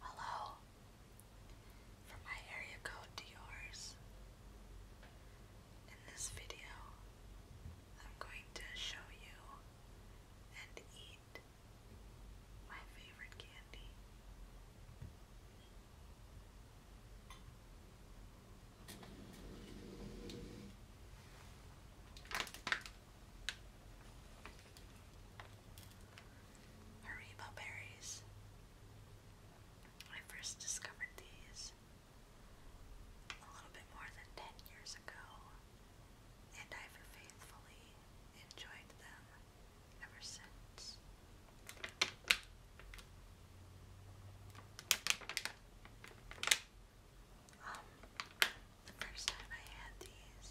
Hello. From my area code to yours. In this video, I'm going to show you and eat my favorite candy. Haribo berries. I first discovered these a little bit more than 10 years ago, and I've faithfully enjoyed them ever since. Um, the first time I had these,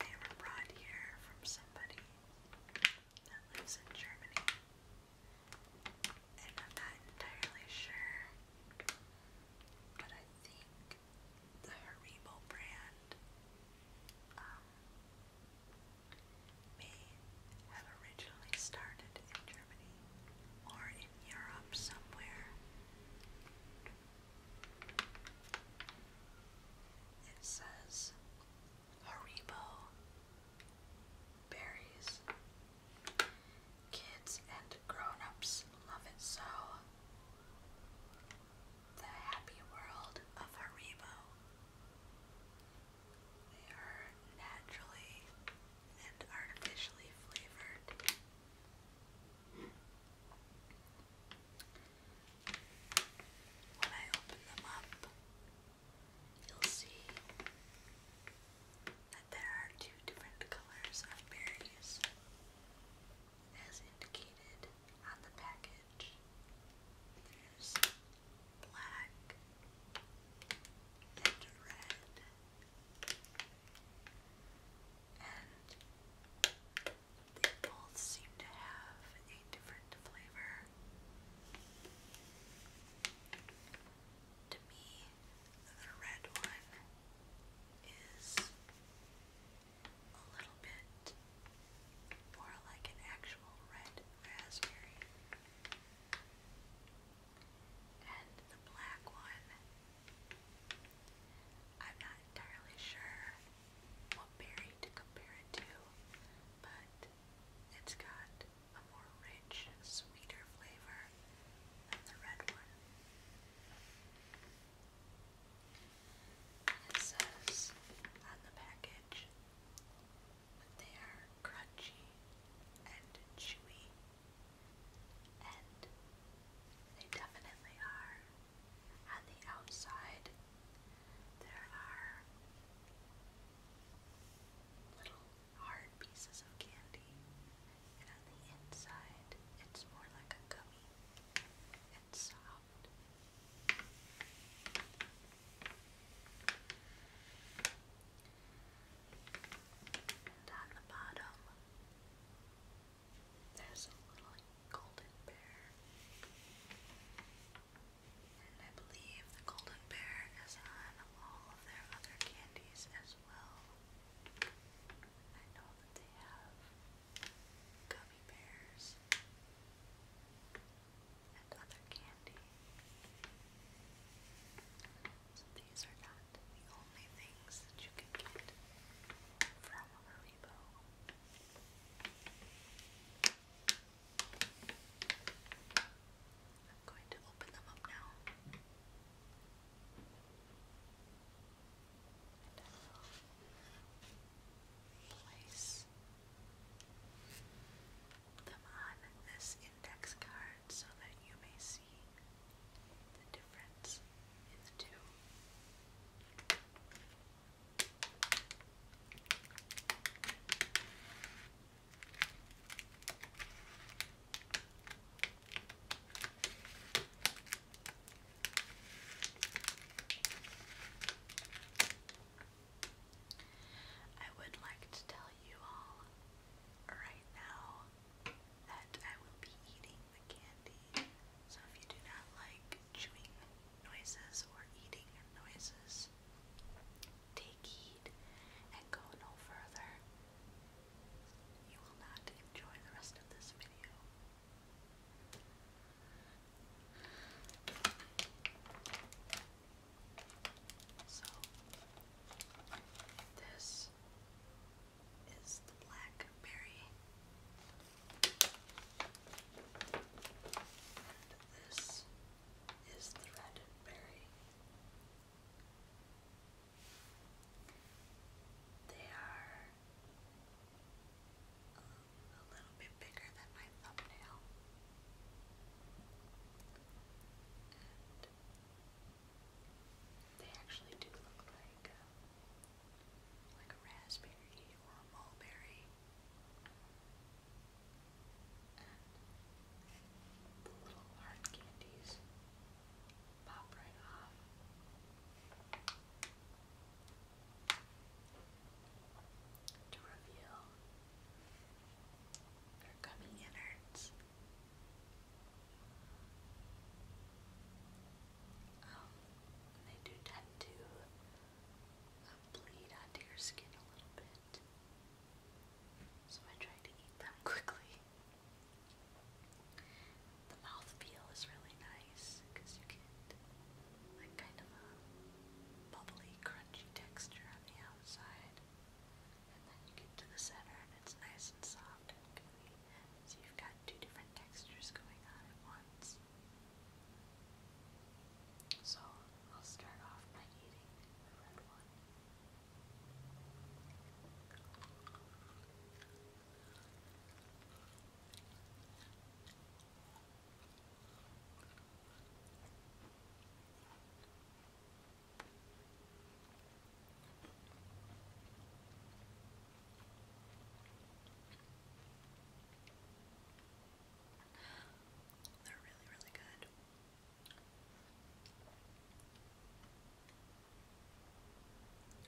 they were brought here from somebody that lives in Germany. And I'm not entirely sure, but I think the Haribo brand um, may have originally started in Germany or in Europe somewhere. It says Haribo berries. Kids and grown love it so. The happy world of Haribo. They are naturally and artificially flavored when I open them up, you'll see that there are two different colors of berries as indicated on the package. There's black and red and they both seem to have a different flavor. To me, the red one is a little bit more like an actual red raspberry. And the black one I'm not entirely sure what berry to compare it to, but it's got a more rich, sweeter flavor than the red one. And it says on the package that they are crunchy and chewy, and they definitely are. On the outside, there are little hard pieces of candy, and on the inside, it's more like a gummy. It's soft. And on the bottom, there's a little golden bear. And I believe the golden bear is on all of their other candies as well. I know that they have gummy bears and other candy. So these are not the only things that you can get from from I'm going to open them up now. place them on this index card so that you may see the difference is I would like to tell you all right now that I will be eating the candy so if you do not like chewing noises or eating noises, take heed and go no further. You will not enjoy the rest of this video. So, this is the blackberry. And this is the red berry. They are um, a little bit bigger than my thumbnail. And they actually do look like um, like a raspberry or a mulberry. And the little hard candies pop right off. To reveal their gummy innards. Um, they do tend to uh, bleed onto your skin a little bit. So I try to eat them quickly. The mouth feel is really nice because you get like kind of a bubbly, crunchy texture on the outside. And then you get to the center and it's nice and soft and gooey. So you've got two different textures going on at once. So I'll start off by eating the red one. They're really, really good.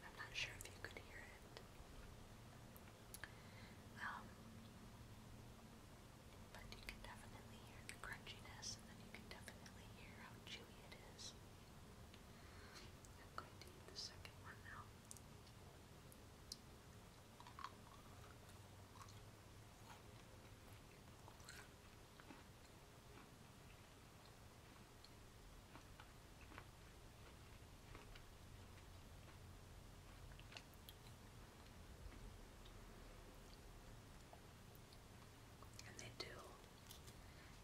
I'm not sure if you could hear it. Um, but you can definitely hear the crunchiness, and then you can definitely hear how chewy it is. I'm going to eat the second one now. And they do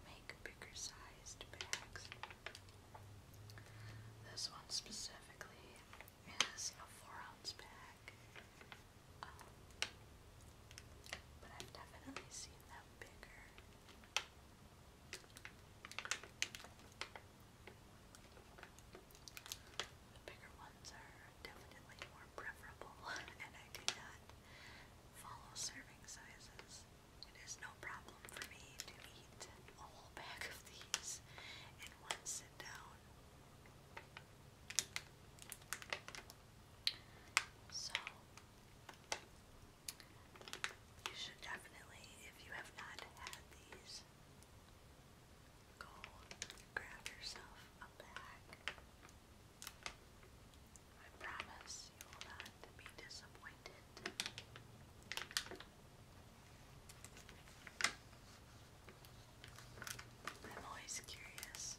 make bigger sized bags this one specifically is a four-ounce bag, um, but I've definitely seen them bigger. The bigger ones are definitely more preferable, and I cannot follow serving sizes. It is no problem for me to eat a whole bag of these and one sit down. So, you should definitely, if you have not had these, go grab yourself a bag. I promise you will not be disappointed. I'm always curious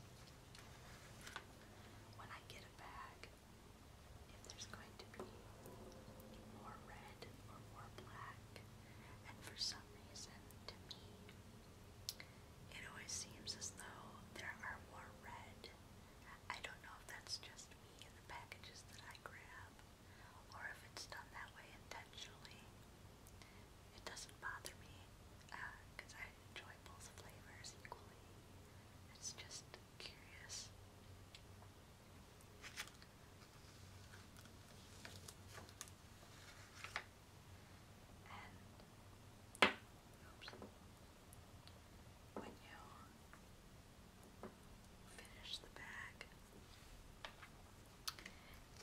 when I get a bag if there's going to be more red or more black. And for some reason, to me, it always seems as though there are more red. I don't know if that's just me and the packages that I grab, or if it's done that way intentionally, it doesn't bother me because uh, I enjoy both flavors equally. It's just curious. And when you Finish the bag.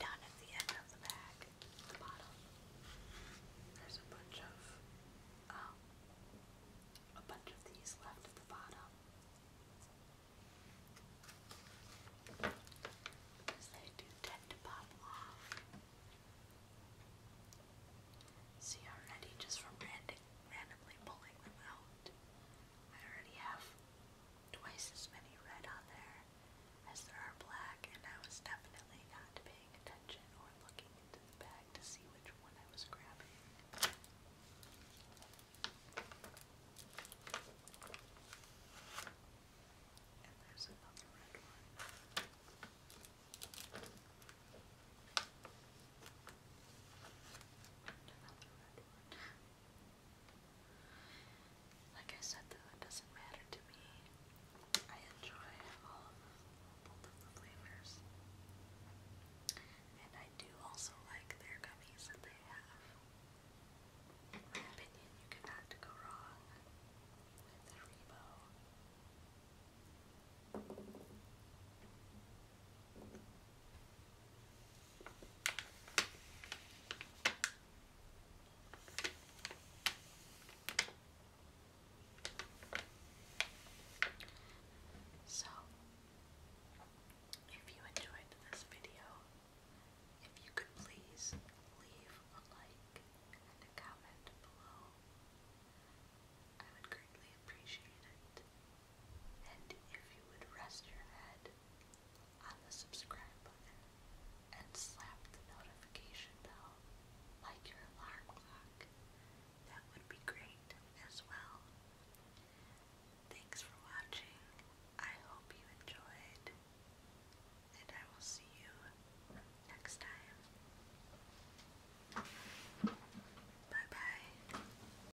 Down at the end of the bag, the bottom, there's a bunch of um, a bunch of these left at the bottom. Because they do tend to pop off. See already just from random, randomly pulling them out. I already have twice as many red on there as there are black, and I was definitely not paying attention or looking into the bag to see which one I was grabbing. And there's another red one. Like I said though, it doesn't matter to me. I enjoy all of the, flavors. And I do also like their gummies that they have. In my opinion, you cannot go wrong with Rebo. So, if you enjoyed this video, if you could please leave a like and a comment below, I would greatly appreciate it and if you would rest your head on the subscribe button and slap the notification bell like your alarm clock, that would be great as well. Thanks for watching. I hope you enjoyed, and I will see you next time. Bye bye.